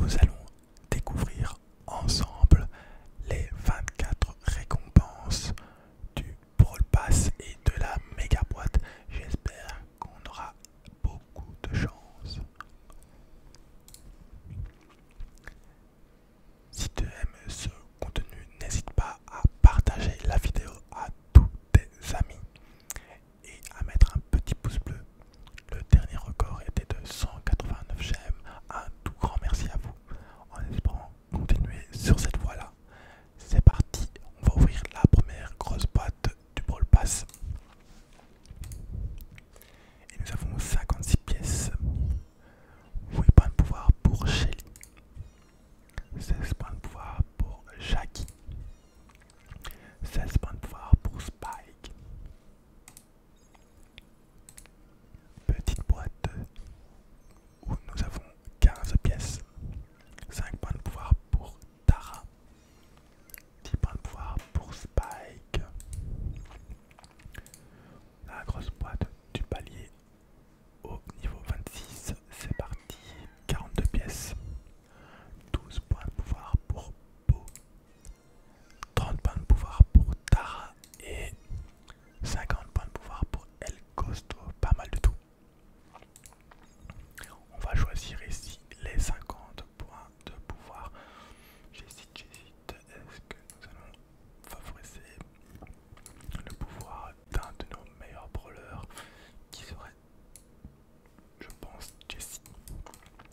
Nous allons découvrir ensemble les 24 récompenses du Brawl Pass et de la méga boîte. J'espère qu'on aura beaucoup de chance. Si tu aimes ce contenu, n'hésite pas à partager la vidéo à tous tes amis et à mettre un petit pouce bleu le dernier record était de 189 gemmes, Un tout grand merci à vous en espérant continuer sur cette voie-là. C'est parti, on va ouvrir la première grosse boîte du Brawl Pass. Et nous avons 56 pièces. 8 points de pouvoir pour Shelly. 16 points de pouvoir pour Jackie. 16 points de pouvoir pour Spike. Petite boîte où nous avons 15 pièces, 5 points de pouvoir pour Tara, 10 points de pouvoir pour Spike. La grosse boîte du palier au niveau 26, c'est parti, 42 pièces, 12 points de pouvoir pour Beau. 30 points de pouvoir pour Tara et 50 points de pouvoir pour El Costo. Pas mal de tout. On va choisir ici les 50 points de pouvoir. J'hésite, j'hésite. Est-ce que nous allons favoriser le pouvoir d'un de nos meilleurs brawlers qui serait, je pense, Jessie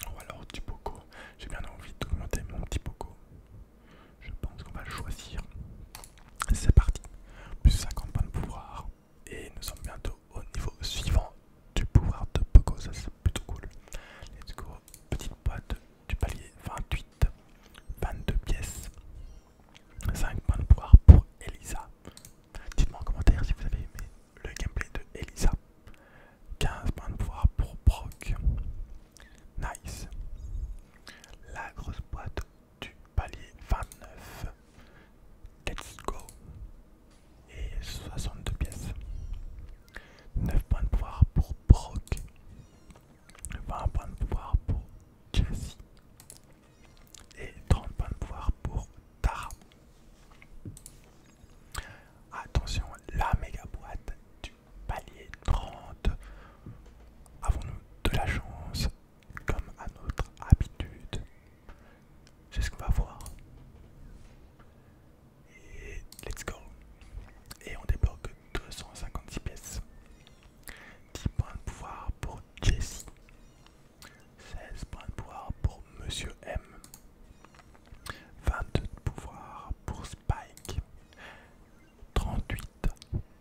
ou oh, alors du Poco. J'ai bien envie d'augmenter mon petit Poco. Je pense qu'on va le choisir. C'est parti. Plus 50 points de pouvoir. Et nous sommes bientôt au niveau suivant du pouvoir de Poco. Ça c'est plutôt cool. Let's go. Petite boîte du palier 28. 22 pièces. 5 points de pouvoir pour Elisa. Dites-moi en commentaire si vous avez aimé le gameplay de Elisa. 15 points de pouvoir pour Brock. Nice. La grosse boîte du palier 29. Let's go. Et 62 pièces. 9 points de pouvoir pour Brock. 20 points de pouvoir pour Jessie. Et 30 points de pouvoir pour Tara. Attention, la méga boîte du palier 30. Avons-nous de la chance comme à notre habitude C'est ce qu'on va voir. Et let's go. Et on débloque 256 pièces. 10 points de pouvoir pour Jessie. 16 points de pouvoir pour Monsieur M. 22 de pouvoir pour Spike, 38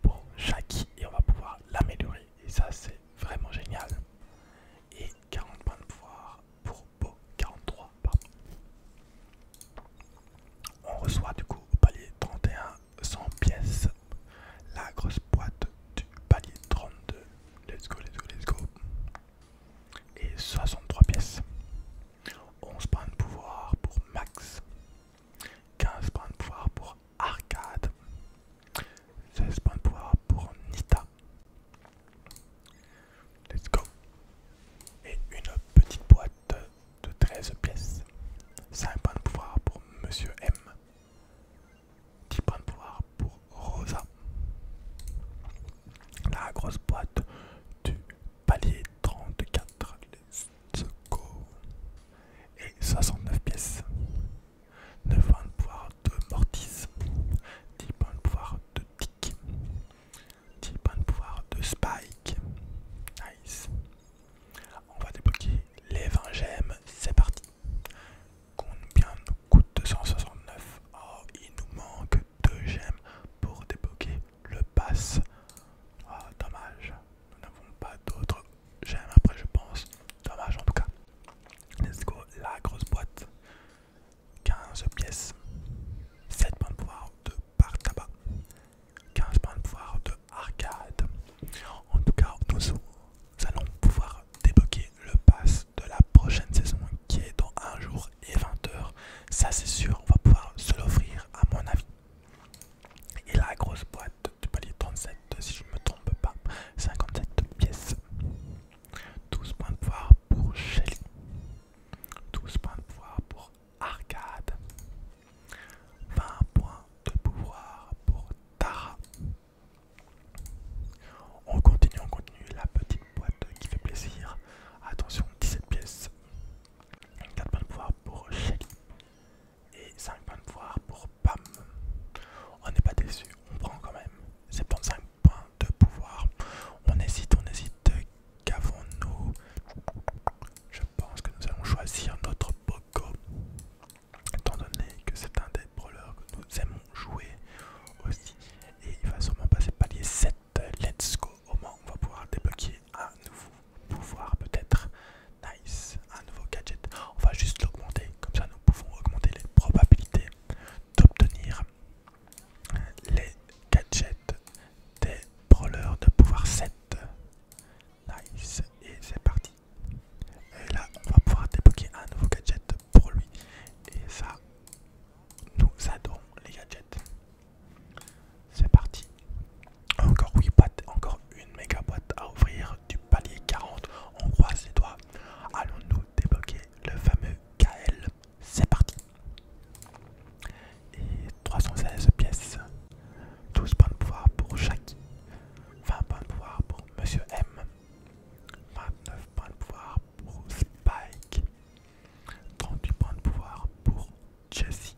pour Jackie et on va pouvoir l'améliorer et ça c'est vraiment génial. Et 40 points de pouvoir pour 43 pardon. On reçoit du coup au palier 31 100 pièces, la grosse boîte du palier 32, let's go, let's go, let's go, et 63 pièces. 11 points de pouvoir pour Max, 15 points de pouvoir pour Arcade, 16 points de pouvoir pour Nita. Let's go! Et une petite boîte de 13 pièces. 5 points de pouvoir pour Monsieur M, 10 points de pouvoir pour Rosa, la grosse boîte du palier 34, Et 69 pièces. 9 points de pouvoir de mortise 10 points de pouvoir de Tick. 10 points de pouvoir de Spike. Nice. On va débloquer les 20 gemmes. C'est parti. Combien nous coûte 269 Oh, il nous manque 2 gemmes pour débloquer le pass. Ah, dommage, nous n'avons pas d'autres j'aime après, je pense. Dommage en tout cas. Let's go, la grosse boîte. 15 pièces, 7 points de pouvoir de par tabac, 15 points de pouvoir de arcade. En tout cas, nous allons pouvoir débloquer le pass de la prochaine saison qui est dans 1 jour et 20 heures. Ça c'est sûr, on va pouvoir se l'offrir à mon avis. Et la grosse boîte du palier 37, si je ne me trompe pas, 57 pièces. 12 points de pouvoir pour Shelly. 12 points de pouvoir pour Arcade. 20 points de pouvoir pour Tara. On continue, on continue la petite boîte qui fait plaisir. Attention, 17 pièces. 4 points de pouvoir pour Shelly et 5 points de pouvoir pour Pam. On n'est pas déçu, on prend quand même 75 points de pouvoir. On hésite, on hésite. Qu'avons-nous Je pense que nous allons choisir notre Poco. Étant donné que c'est un des brawlers que nous aimons jouer aussi. Et il va sûrement passer palier 7 let's go au moins on va pouvoir débloquer un nouveau pouvoir peut-être nice un nouveau gadget on va juste l'augmenter comme ça nous pouvons augmenter les probabilités d'obtenir les gadgets des brawlers de pouvoir 7 nice et c'est parti et là on va pouvoir débloquer un nouveau gadget pour lui et ça nous adorons les gadgets c'est parti. Encore 8 boîtes, encore une méga boîte à ouvrir du palier 40. On croise les doigts. Allons-nous débloquer le fameux KL C'est parti. Et 316 pièces. 12 points de pouvoir pour Jackie, 20 points de pouvoir pour Monsieur M. 29 points de pouvoir pour Spike. 38 points de pouvoir pour Jesse.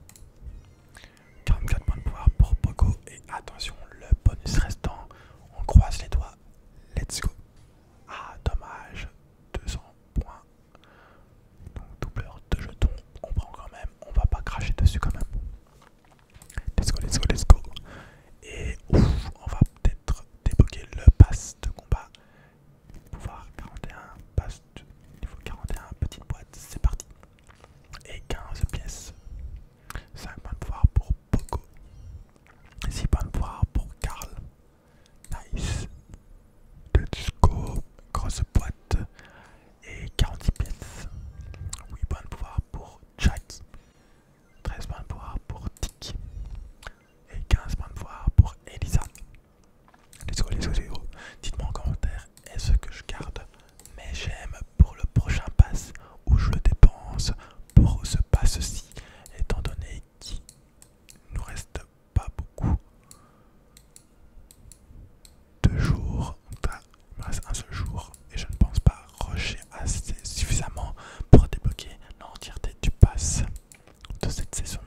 44 points de pouvoir pour Poco. Et attention, le bonus restant. On croise les doigts. Let's go. Ah, dommage. 200 points. Donc, doubleur de jetons. On prend quand même. On va pas cracher dessus quand même. Let's go, let's go, let's go. Et on va peut-être débloquer le pass de combat Pouvoir 41, il niveau 41, petite boîte, c'est parti. Et 15 pièces. 5 points de pouvoir pour Poco. 6 points de pouvoir pour Carl. Nice. Let's go, grosse boîte. Et 40 pièces. 8 points de pouvoir pour Jack. 13 points de pouvoir pour Dick. Et 15 points de pouvoir pour Elisa. Dites-moi en commentaire, est-ce que je garde mais j'aime pour le prochain pass ou je le dépense pour ce pass-ci, étant donné qu'il nous reste pas beaucoup de jours. il me reste un seul jour et je ne pense pas rusher assez suffisamment pour débloquer l'entièreté du pass de cette saison.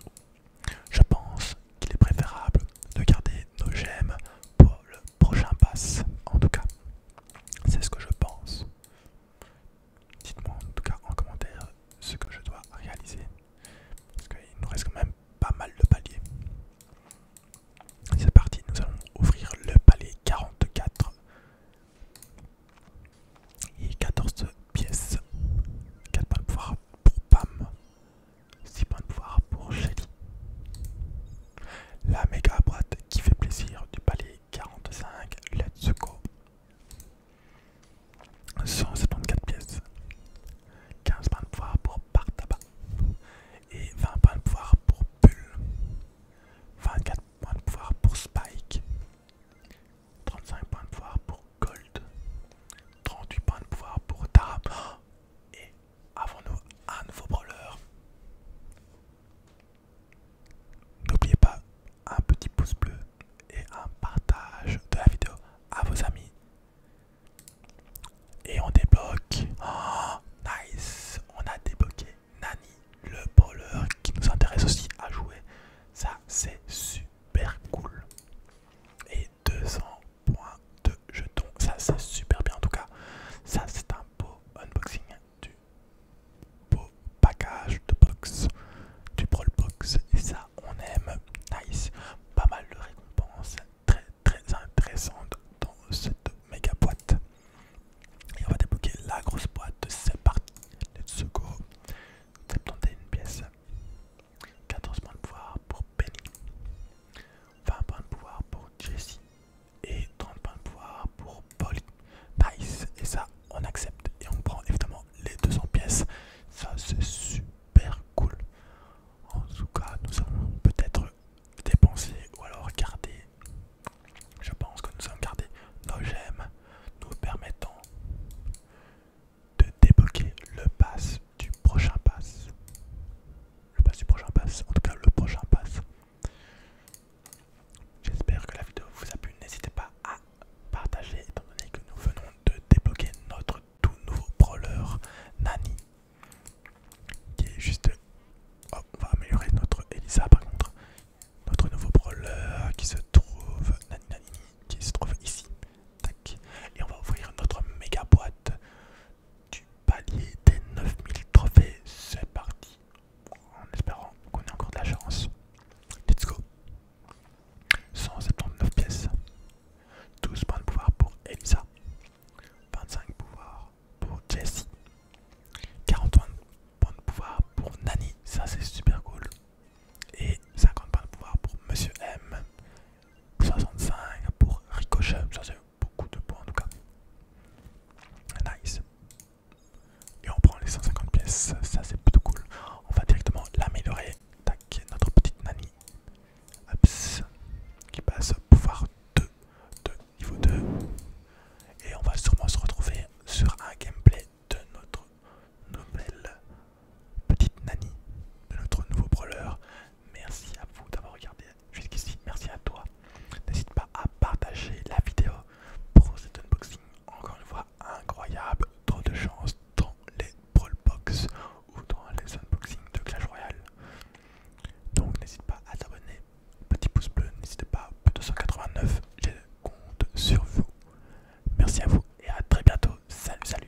Je pense qu'il est préférable de garder nos gemmes pour le prochain pass. En tout cas, c'est ce que je pense. Dites-moi en tout cas en commentaire ce que je dois réaliser. Parce qu'il nous reste quand même pas mal de paliers. C'est parti, nous allons ouvrir le palier 44 et 14 pièces. 4 points de pouvoir pour Pam. 6 points de pouvoir pour Shelly. La méga boîte qui fait plaisir du palais 45, let's go. 174 pièces, 15 points de pouvoir pour Partaba et 20 points de pouvoir pour Bull, 24 points de pouvoir pour Spike, 35 points de pouvoir pour Gold, 38 points de pouvoir pour Tara. Et avons-nous un nouveau brawler N'oubliez pas un petit pouce bleu et un partage de la vidéo à vos amis. Et on débloque. Oh, nice On a débloqué Nani, le brawler qui nous intéresse aussi à jouer. Ça, c'est super cool et 200 points de jetons. Ça, c'est super bien en tout cas. Ça, c'est un beau unboxing hein. du beau package de box du Brawl Box. Et ça, on aime. Nice. Pas mal de récompenses très très intéressantes dans cette méga boîte. Et on va débloquer la grosse boîte. C'est parti. Let's go. une pièce. 14 points de pouvoir pour Penny, 20 points de pouvoir pour Jessie et 30 points de pouvoir pour Paul Nice, et ça on accepte et on prend évidemment les 200 pièces. Ça c'est super cool. En tout cas, nous allons peut-être dépenser ou alors garder, Je pense que nous allons garder nos gemmes nous permettant de débloquer le pass du prochain pass. Le pass du prochain pass, en tout cas le prochain pass. J'espère que la vidéo vous a plu. N'hésitez pas à partager étant donné que nous venons de débloquer notre tout nouveau brawler Nani. Qui est juste... Oh, on va améliorer notre Elisa par contre. Notre nouveau brawler qui se trouve... Nani qui se trouve ici. Et on va ouvrir notre méga boîte du palier des 9000 trophées. C'est parti. En espérant qu'on ait encore de la chance. Let's go. 179 pièces. 12 points de pouvoir pour Elisa. 25 pouvoir pour Jessie. 40 points de pouvoir pour Nani. Ça c'est super cool. Et 50 points de pouvoir pour Monsieur M. 65 pour Ricochet, ça c'est beaucoup de points en tout cas. Nice. Et on prend les 150 pièces, ça c'est plutôt cool. On va directement l'améliorer. Tac, notre petite nanny. qui passe pouvoir 2 de niveau 2. Et on va sûrement se retrouver sur un gameplay de notre nouvelle petite Nani de notre nouveau brawler. Merci à vous d'avoir regardé jusqu'ici. Merci à toi. N'hésite pas à partager la vidéo pour cet unboxing. Encore une fois, incroyable. Trop de chance dans les Brawl Box ou dans les unboxings de Clash Royale. Donc n'hésite pas à t'abonner. Petit pouce bleu, n'hésitez pas. 289, je compte sur vous. Merci à vous et à très bientôt. Salut, salut.